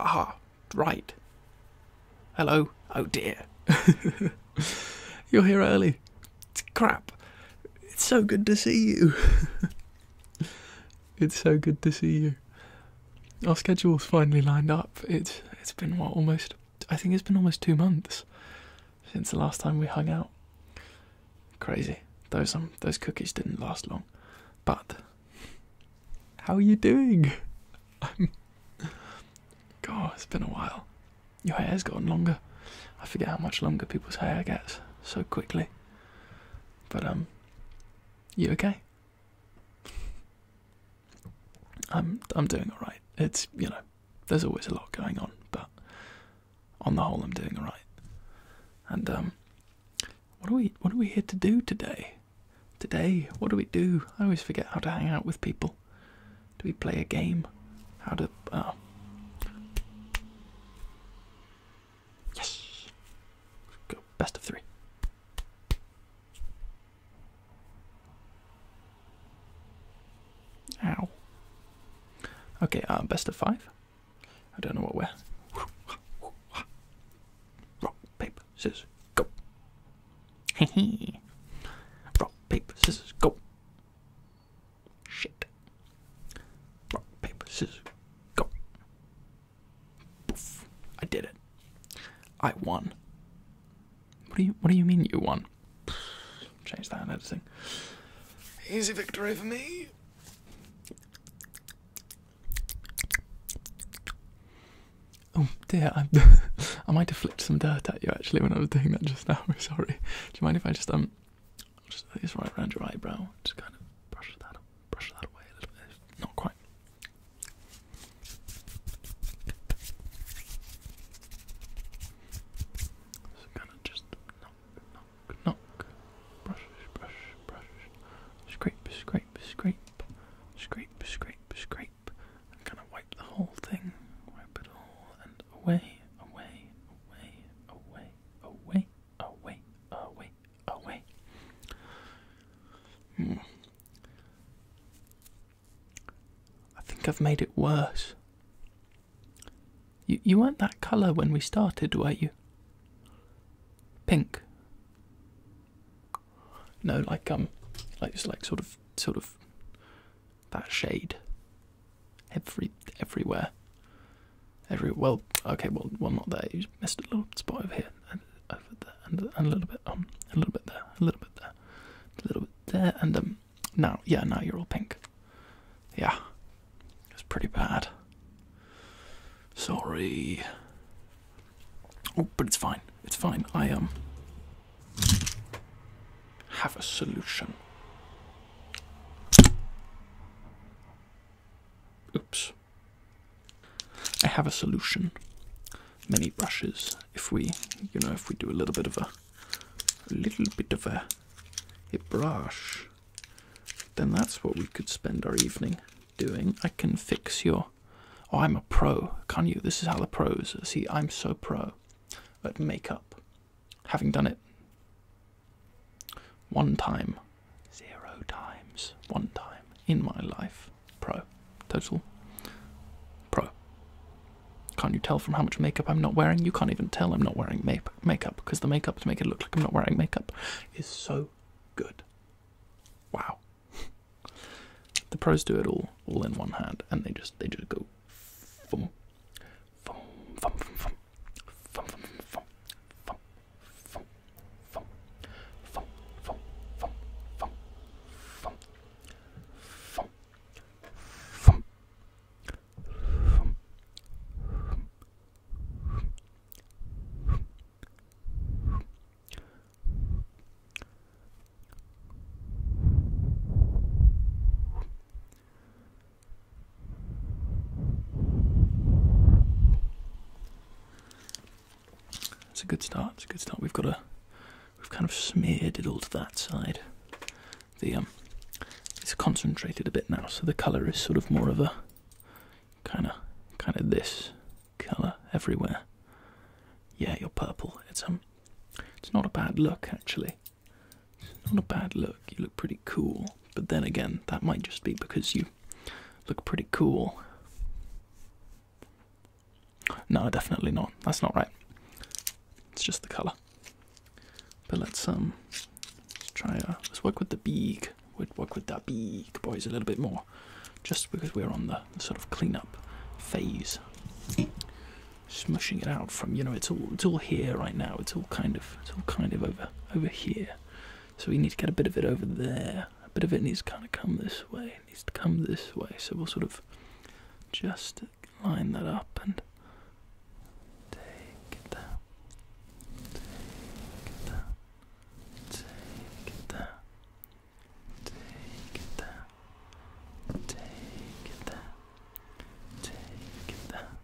Ah, right. Hello. Oh dear. You're here early. It's crap. It's so good to see you. it's so good to see you. Our schedule's finally lined up. It's it's been what almost I think it's been almost two months since the last time we hung out. Crazy. Those um those cookies didn't last long. But how are you doing? I'm God, it's been a while. Your hair's gotten longer. I forget how much longer people's hair gets so quickly. But um you okay? I'm I'm doing alright. It's you know, there's always a lot going on, but on the whole, I'm doing all right. And um, what are we? What are we here to do today? Today, what do we do? I always forget how to hang out with people. Do we play a game? How to? Uh... Yes. Go best of three. Ow. Okay, uh, best of five. I don't know what we're. Rock, paper, scissors, go. Hehe. Rock, paper, scissors, go. Shit. Rock, paper, scissors, go. Poof. I did it. I won. What do you What do you mean you won? Change that in editing. Easy victory for me. Oh dear, I I might have flipped some dirt at you actually when I was doing that just now. Sorry. Do you mind if I just um just it's right around your eyebrow? Just kind of brush that brush that away a little bit. Not quite. So kind of just knock, knock, knock, brush, brush, brush, scrape, scrape, scrape, scrape, scrape, scrape, and kind of wipe the whole thing, wipe it all, and away, away, away, away, away, away, away, away. Hmm. I think I've made it worse. You, you weren't that colour when we started, were you? Pink. No, like um, like it's like sort of, sort of, that shade. Every, everywhere. Every well, okay, well, well, not there. You missed a little spot over here, and over there, and a little bit um, a little bit there, a little bit there, a little bit there, and um, now, yeah, now you're all pink. Yeah, it's pretty bad. Sorry. Oh, but it's fine. It's fine. I um have a solution. Oops. I have a solution. Many brushes. If we, you know, if we do a little bit of a a little bit of a, brush, then that's what we could spend our evening doing. I can fix your. Oh, I'm a pro, can you? This is how the pros. See, I'm so pro at makeup, having done it one time, zero times, one time in my life. Pro, total pro. Can't you tell from how much makeup I'm not wearing? You can't even tell I'm not wearing make makeup because the makeup to make it look like I'm not wearing makeup is so good. Wow. the pros do it all, all in one hand, and they just they just go. Fum, fum, fum, fum, fum. Fum, fum, fum, fum, fum, fum, fum, fum, fum, fum, fum, fum, fum. Fum. It's a good start. It's a good start. We've got a we've kind of smeared it all to that side. The um, it's concentrated a bit now, so the colour is sort of more of a kind of kind of this colour everywhere. Yeah, you're purple. It's um, it's not a bad look actually. It's not a bad look. You look pretty cool. But then again, that might just be because you look pretty cool. No, definitely not. That's not right. It's just the color. But let's um, try. Uh, let's work with the beak. we work with that beak, boys, a little bit more, just because we're on the sort of clean up phase. Smushing it out from you know it's all it's all here right now. It's all kind of it's all kind of over over here. So we need to get a bit of it over there. A bit of it needs to kind of come this way needs to come this way, so we'll sort of just line that up and take it down. Take it down. Take it down. Take it down. Take it down. Take it down.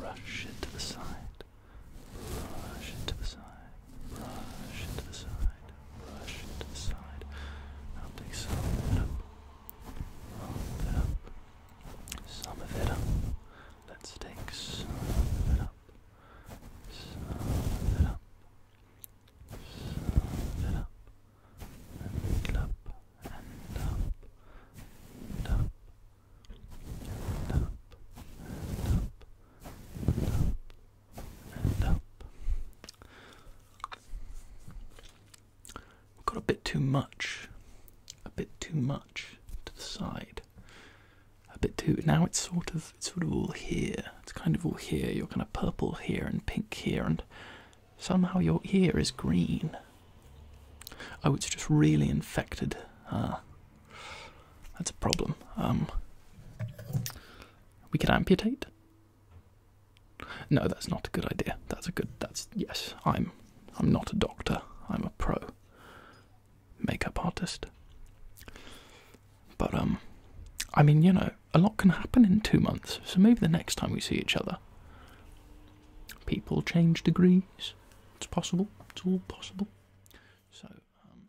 Brush it to the side. Brush it to the side. Brush it to the side brush to the side. I'll it up, all it up, some of it up. Let's take some of it up, some it up, some it up, and up, and up, up, and up. And up. We've got a bit too much, a bit too much to the side, a bit too. Now it's sort of it's sort of all here. It's kind of all here. You're kind of purple here and pink here, and somehow your ear is green. Oh, it's just really infected. Ah, that's a problem. Um, we could amputate. No, that's not a good idea. That's a good. That's yes. I'm. I'm not a doctor. I'm a pro makeup artist. But um, I mean, you know, a lot can happen in two months. So maybe the next time we see each other, people change degrees. It's possible. It's all possible. So. Um,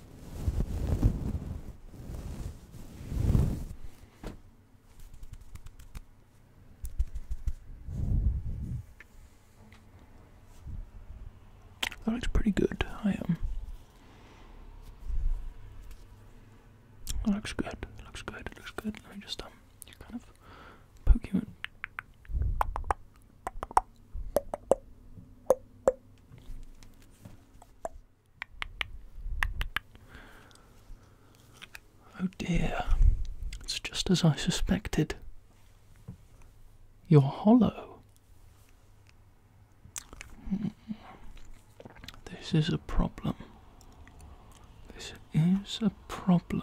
That looks pretty good. I am. Um, that looks good. It looks good. It looks good. Let me just um, kind of poke you in. Oh dear, it's just as I suspected. You're hollow. This is a problem. This is a problem.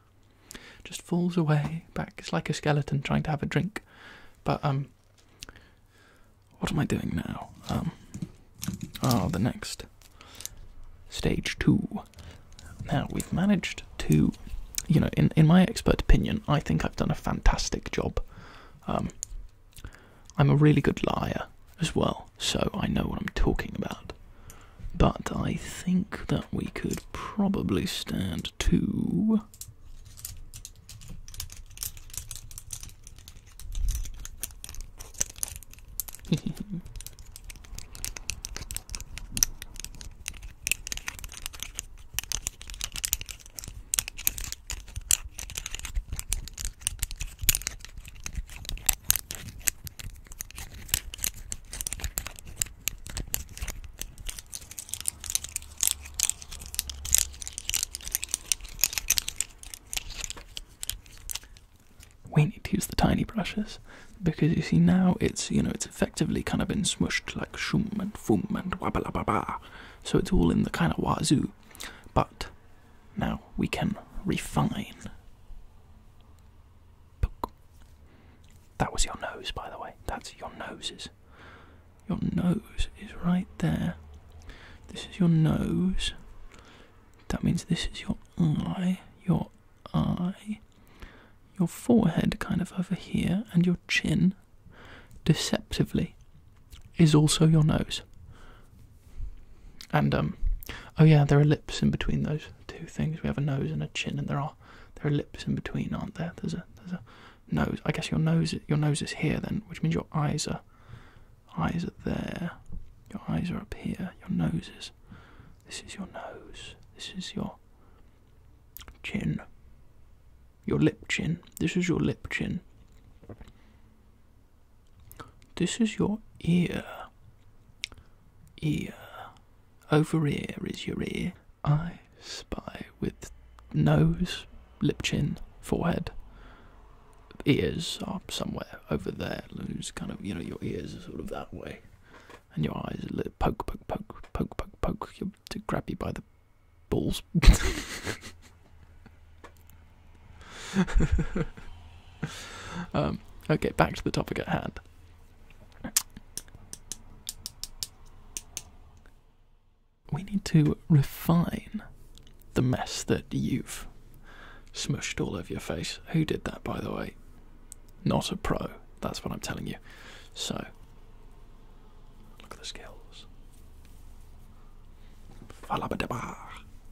Just falls away back. It's like a skeleton trying to have a drink. But, um, what am I doing now? Um, oh, the next stage two. Now, we've managed to, you know, in, in my expert opinion, I think I've done a fantastic job. Um, I'm a really good liar as well, so I know what I'm talking about. But I think that we could probably stand two. We need to use the tiny brushes because you see now it's you know it's effectively kind of been smushed like shum and fum and wabba ba ba, so it's all in the kind of wazoo. But now we can refine. That was your nose, by the way. That's your noses. Your nose is right there. This is your nose. That means this is your eye, your eye, your forehead kind of over here, and your chin, deceptively, is also your nose. And, um, oh yeah, there are lips in between those two things. We have a nose and a chin, and there are there are lips in between, aren't there? There's a there's a nose. I guess your nose your nose is here then, which means your eyes are eyes are there. Your eyes are up here. Your nose is this is your nose. This is your chin. Your lip chin. This is your lip chin. This is your ear ear. Over ear is your ear. I spy with nose, lip, chin, forehead. Ears are somewhere over there. It's kind of, you know, your ears are sort of that way. And your eyes are poke, poke, poke, poke, poke, poke. You're to grab you by the balls. um, okay, back to the topic at hand. We need to refine the mess that you've smushed all over your face. Who did that, by the way? Not a pro. That's what I'm telling you. So, look at the skills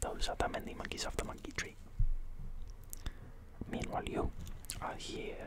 Those are the many monkeys of the monkey tree. Meanwhile, you are here.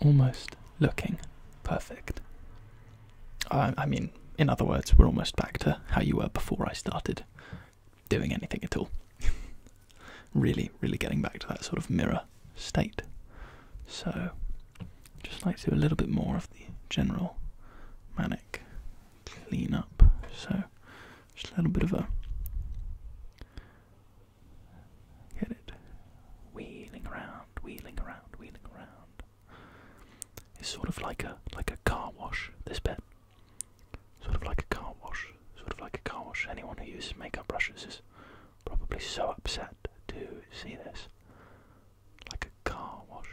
Almost looking perfect. I, mean, in other words, we're almost back to how you were before I started doing anything at all. really, really getting back to that sort of mirror state. So, just like to do a little bit more of the general manic clean up. So, just a little bit of a get it wheeling around, wheeling around, wheeling around. It's sort of like a like a car wash. This bit Sort of like a car wash. Sort of like a car wash. Anyone who uses makeup brushes is probably so upset to see this. Like a car wash.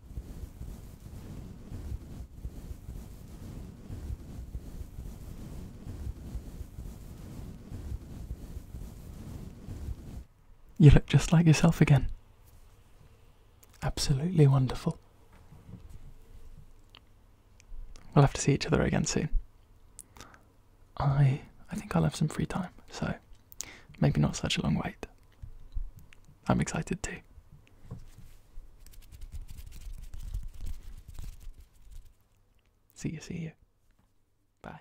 You look just like yourself again. Absolutely wonderful. We'll have to see each other again soon. I I think I'll have some free time, so maybe not such a long wait. I'm excited too. See you, see you. Bye.